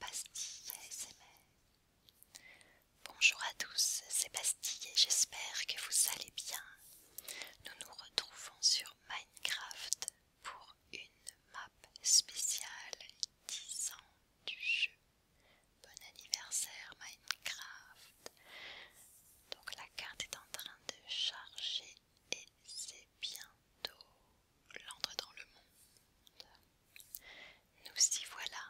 Bastille Bonjour à tous, c'est Bastille et j'espère que vous allez bien. Nous nous retrouvons sur Minecraft pour une map spéciale 10 ans du jeu. Bon anniversaire Minecraft. Donc la carte est en train de charger et c'est bientôt l'entre dans le monde. Nous y voilà.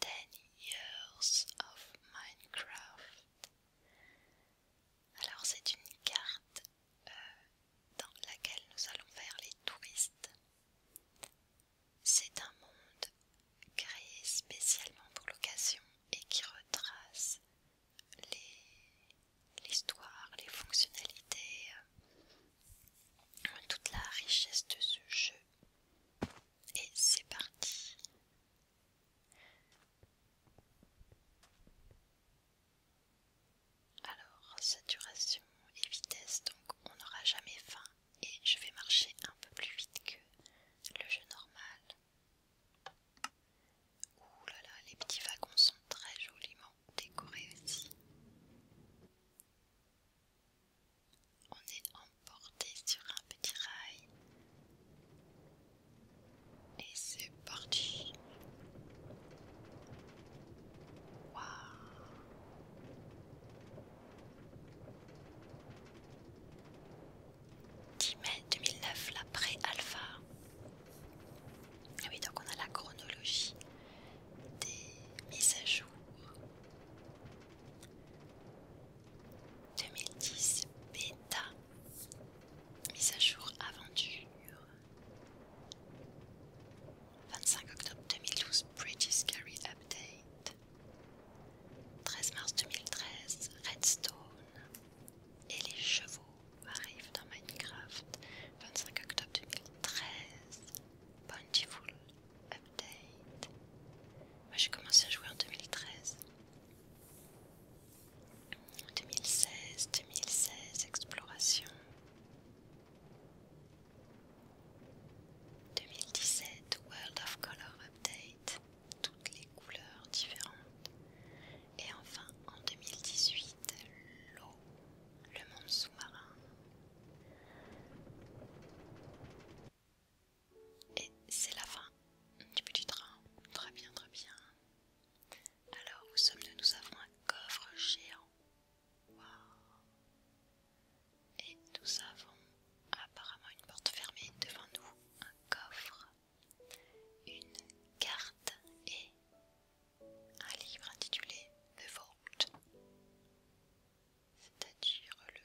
Ten years of Minecraft. Alors c'est une carte euh, dans laquelle nous allons faire les touristes. C'est un monde créé spécialement pour l'occasion et qui retrace les l'histoire, les fonctionnalités, euh, toute la richesse de ce jeu. Et c'est parti. Alors, saturation et vitesse, donc on n'aura jamais faim et je vais marcher un peu plus vite que le jeu normal. Ouh là là, les petits wagons sont très joliment décorés aussi. On est emporté sur un petit rail. Et c'est parti. 10 mai 2009, la pré-alpha. Ah oui, donc on a la chronologie des mises à jour. 2010 Beta, mise à jour aventure. 25 octobre 2012 british Scary Update. 13 mars 2013 Redstone et les chevaux arrive dans Minecraft 25 octobre 2013 Bountiful Update Moi j'ai commencé à jouer en 2013 2016, 2016, exploration 2017, World of Color Update toutes les couleurs différentes et enfin, en 2018, l'eau, le monde sous-marin. Et c'est la fin du petit train. Très bien, très bien. Alors, où sommes-nous Nous avons un coffre géant. Et nous avons apparemment une porte fermée devant nous, un coffre une carte et un livre intitulé le Vault, c'est-à-dire le,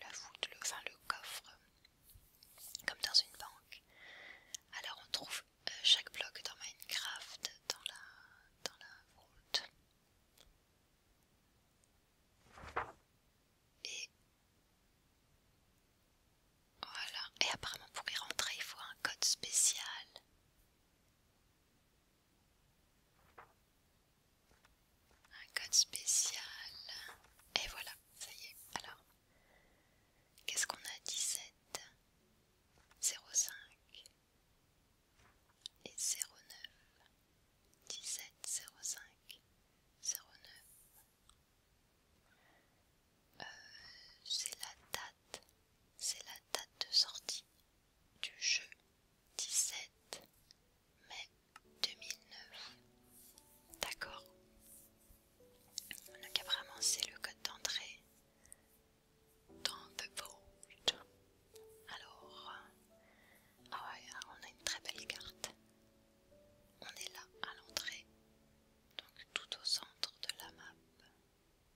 la voûte, enfin le coffre, comme dans une banque. Alors on trouve euh, chaque bloc dans Minecraft dans la, dans la vault. Et voilà, et apparemment pour y rentrer il faut un code spécial. Un code spécial. Et voilà, ça y est. Alors, qu'est-ce qu'on a 17 05 et 09 17 05 09 euh, c'est la date, c'est la date de sortie du jeu 17 mai 2009. D'accord. Donc apparemment c'est le code d'entrée dans The Alors, ah ouais, ah, on a une très belle carte. On est là à l'entrée donc tout au centre de la map.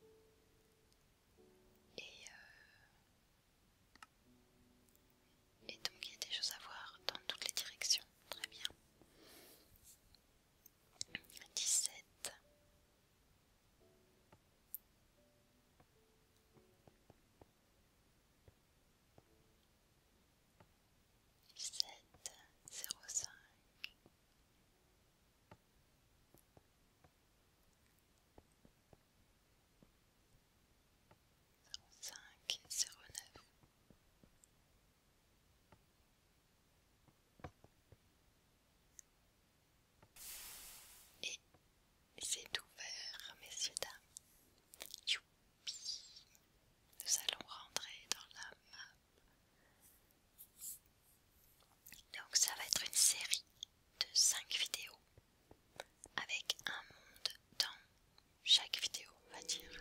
Euh, et, donc il y a des choses à voir dans toutes les directions, très bien. 17 05 05 09 Et c'est ouvert, messieurs, dames, nous allons rentrer dans la... Donc ça va être une série de 5 vidéos avec un monde dans chaque vidéo, on va dire.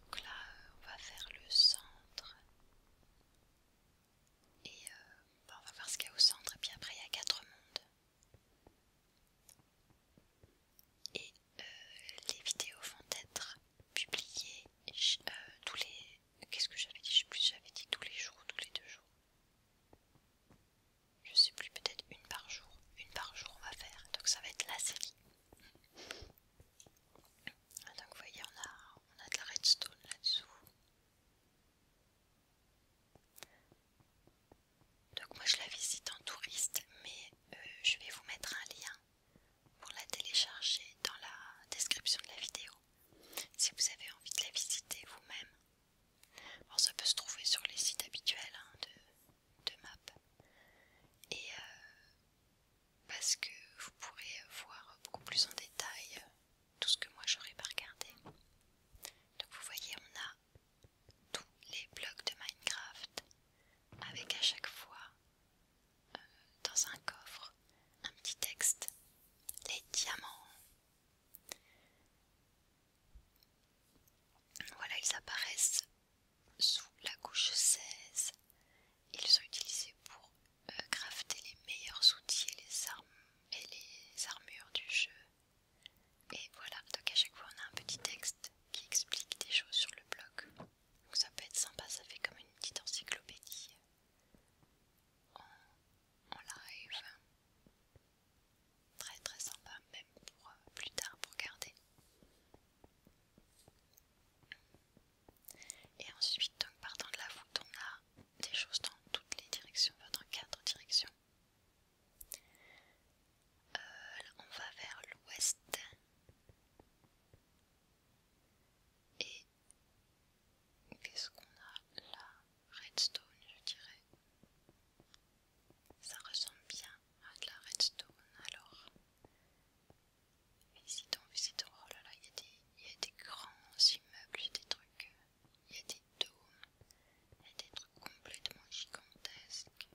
Donc là, euh, on va faire le centre. Et euh, on va voir ce qu'il y a au centre. Et puis après, il y a 4 mondes. Et euh, les vidéos vont être publiées euh, tous les... Qu'est-ce que j'avais dit Je plus, j'avais dit tous les jours tous les deux jours. Je sais plus, peut-être une par jour. Une par jour on va faire, donc ça va être la série. Ah, donc vous voyez, a, on a de la redstone là-dessous. Donc moi je la visite en touriste, mais euh, je vais vous mettre un lien pour la télécharger dans la description de la vidéo. Si vous avez envie de la visiter vous-même. Bon, ça peut se trouver sur les sites habituels hein, de, de map. Et euh, parce que vous pourrez voir beaucoup plus en détail euh, tout ce que moi j'aurais pas regardé. Donc vous voyez, on a tous les blocs de Minecraft avec à chaque fois euh, dans un coffre un petit texte les diamants voilà ils apparaissent sous la couche 16 ils sont utilisés pour euh, crafter les meilleurs outils les, armes, et les armures du jeu et voilà, donc à chaque fois on a un petit texte qui explique des choses sur le blog. Donc ça peut être sympa, ça fait comme une petite encyclopédie en, live. Très très sympa, même pour euh, plus tard pour garder. Et ensuite, donc partant de la voûte, on a des choses dans toutes les directions, votre dans quatre directions. Euh, on va vers l'ouest et qu'est-ce qu'on a là Redstone, je dirais. Ça ressemble bien à de la redstone. Alors, visitons, visitons. Oh là là, il y, y a des grands immeubles, il des trucs. Euh, il y a des dômes a des trucs complètement gigantesques.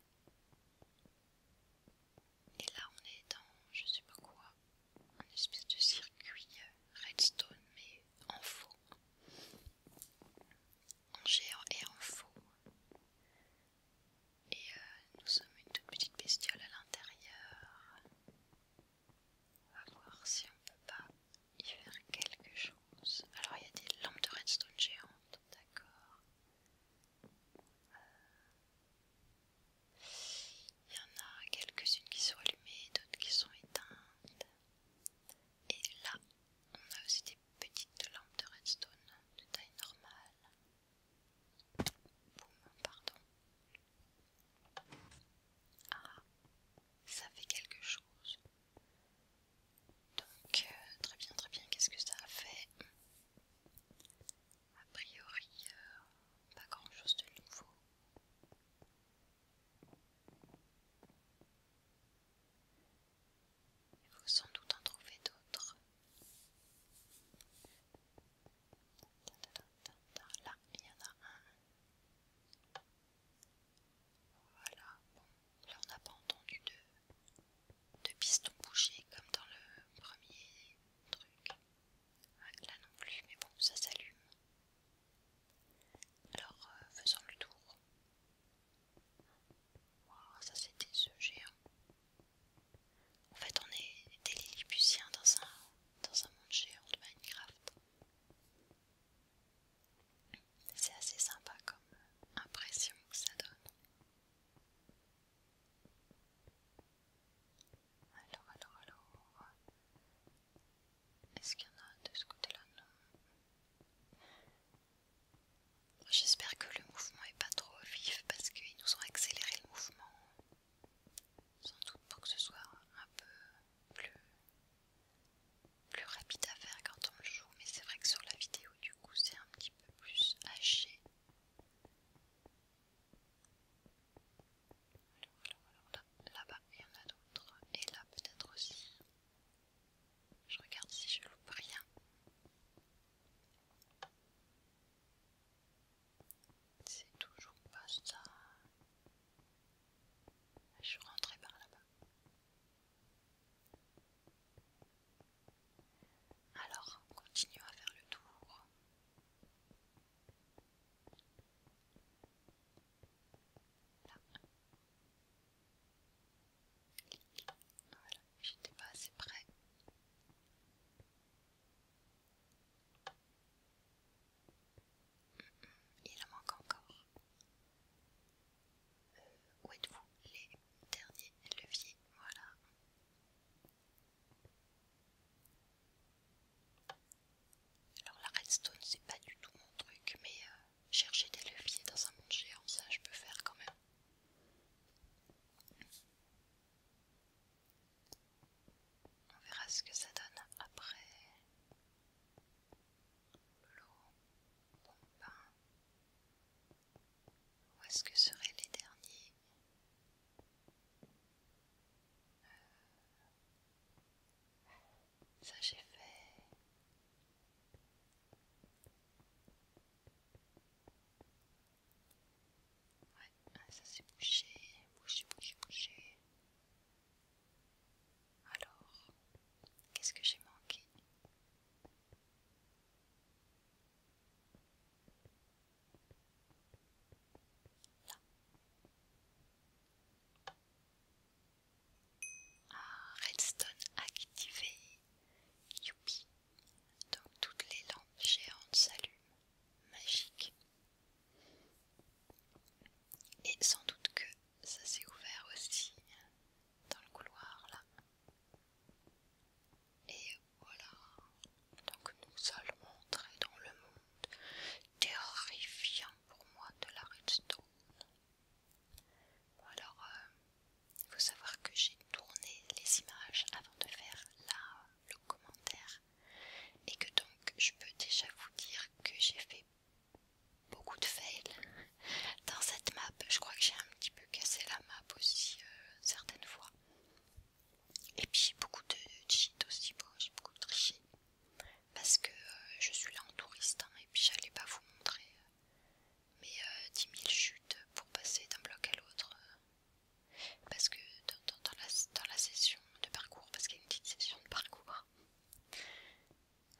Et là, on est dans je sais pas quoi, un espèce de circuit euh, redstone, mais en faux, en géant et en faux. Et euh, nous sommes une toute petite bestiole à l'intérieur. On va voir si on peut pas y faire quelque chose. Alors il y a des lampes de redstone géantes, d'accord. Euh, il y en a quelques-unes qui sont allumées, d'autres qui sont éteintes. Et là, on a aussi des petites lampes de redstone de taille normale. Boum, pardon. Ah, ça fait quelque chose. Donc, euh, très bien, très bien, qu'est-ce que ça a fait A priori, euh, pas grand-chose de nouveau. Il faut sans doute en trouver d'autres. Là, il y en a un. Voilà, bon, là on n'a pas entendu de, de piston bouger comme dans le premier truc. Ah, là non plus, mais bon, ça s'allume. Alors, euh, faisons le tour. waouh ça c'était ce géant. En fait, on est des Lilliputiens dans dans un monde géant de Minecraft. C'est assez sympa comme impression que ça donne. Alors, alors, alors. Est-ce qu'il y en a de ce côté-là Non. J'espère que le mouvement est pas trop vif parce qu'ils nous ont accéléré le mouvement. Sans doute pour que ce soit un peu plus plus rapide à faire quand on le joue, mais c'est vrai que sur la vidéo, du coup, c'est un petit peu plus haché. Là-bas, il y en a d'autres, et là peut-être aussi. Je regarde si je loupe rien. C'est toujours pas ça. Je suis rentrée par là-bas. Alors, continuons à faire le tour. Voilà, j'étais pas assez près. Il en manque encore. Euh, où êtes-vous les derniers leviers Voilà. Alors la redstone c'est pas du tout mon truc, mais euh, chercher des leviers dans un monde géant, ça je peux faire quand même. On verra ce que ça donne après l'eau, bon ben, Où est-ce que seraient les derniers euh, Ça j'ai fait. Ouais, ça c'est bouché, bouché, bouché, bouché. Alors, qu'est-ce que j'ai manqué Là. Ah, redstone activé. Youpi. Donc toutes les lampes géantes s'allument. Magique. Et sans doute que ça s'est ouvert aussi dans le couloir là. Et voilà. Donc nous allons entrer dans le monde terrifiant pour moi de la redstone. Bon alors, il euh, faut savoir que j'ai tourné les images avant de faire le commentaire et que donc je peux déjà vous dire que j'ai fait beaucoup de fails dans cette map. Je crois que j'ai un petit peu cassé la map aussi euh, certaines fois. Et puis beaucoup de cheats aussi, bon, j'ai beaucoup triché parce que euh, je suis là en touriste hein, et puis j'allais pas vous montrer mais euh, mes 10 000 chutes pour passer d'un bloc à l'autre parce que dans, la, dans la session de parcours, parce qu'il y a une petite session de parcours.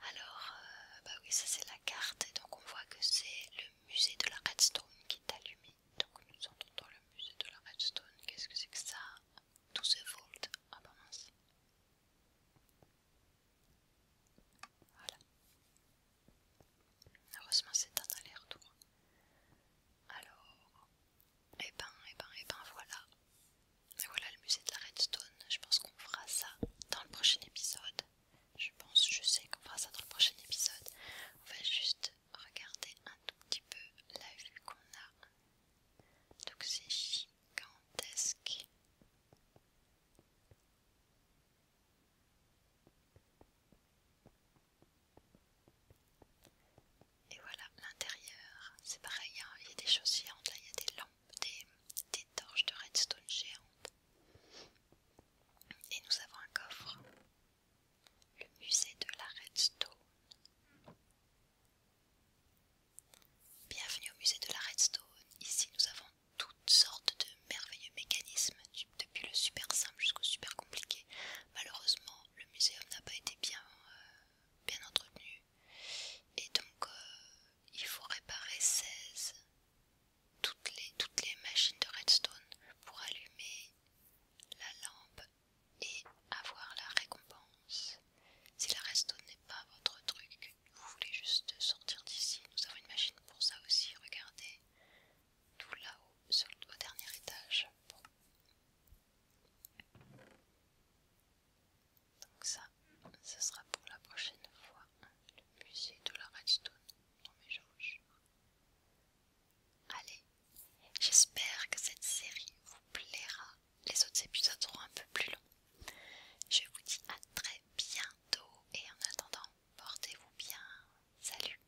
Alors, euh, bah oui, ça c'est la carte, et donc on voit que c'est le musée de la Redstone qui est allumé. Donc nous entrons dans le musée de la Redstone, qu'est-ce que c'est que ça 12 volts, ah bah mince. Voilà. Heureusement c'est un aller-retour. Alors, et eh ben, et eh ben, et eh ben voilà. voilà le musée de la Redstone. Je pense qu'on fera ça dans le prochain épisode. Je pense, je sais qu'on fera ça dans le prochain épisode. On va juste regarder un tout petit peu la vue qu'on a. Donc c'est gigantesque. Et voilà, l'intérieur, c'est pareil, hein. il y a des choses géantes, là il y a des lampes, des, des torches de redstone géantes. Et nous avons un coffre, le musée de la redstone. Bienvenue au musée de la redstone, ici nous avons toutes sortes de merveilleux mécanismes, depuis le super simple jusqu'au super compliqué. Malheureusement, le muséum n'a pas été bien, euh, bien entretenu et donc euh, il faut réparer 16 toutes les, toutes les machines de redstone pour allumer la lampe et avoir la récompense. Si la redstone n'est pas votre truc, vous voulez juste sortir d'ici, nous avons une machine pour ça aussi, regardez, tout là-haut, au dernier étage. Donc ça, ce sera pour la prochaine fois le musée de la Redstone dans mes jauges. Allez, j'espère que cette série vous plaira. Les autres épisodes seront un peu plus longs. Je vous dis à très bientôt et en attendant, portez-vous bien. Salut